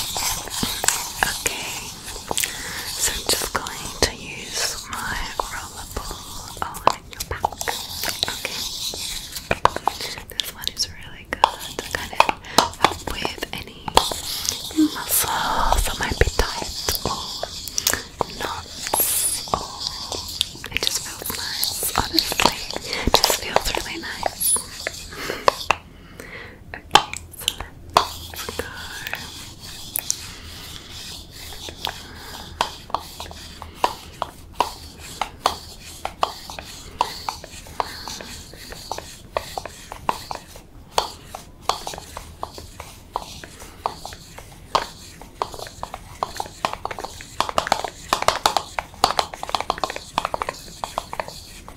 Okay, so I'm just going to use my roller ball on oh, your back. Okay, this one is really good kind of with any muscles that might be tight or knots. it just feels nice, honestly. just feels really nice. Okay, so let's go.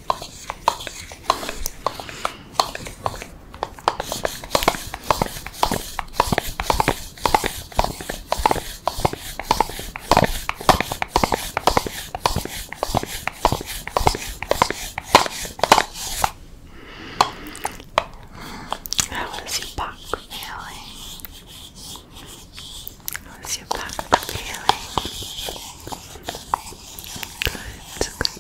How is your back feeling? How's your back feeling? Good,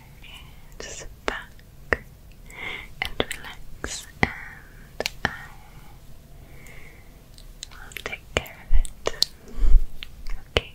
and back and relax, and I will take care of it. okay. Okay.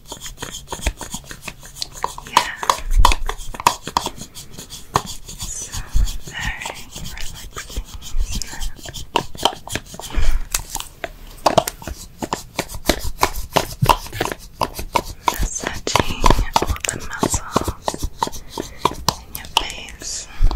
Yeah. So very relaxing. Massaging all the muscles in your face. Yeah.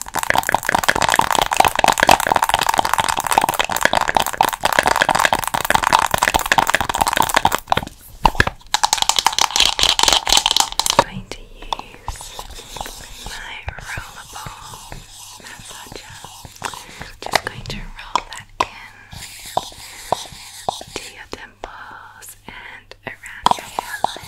going to use my rollable massager. Just going to roll that in to your temples and around your hairline.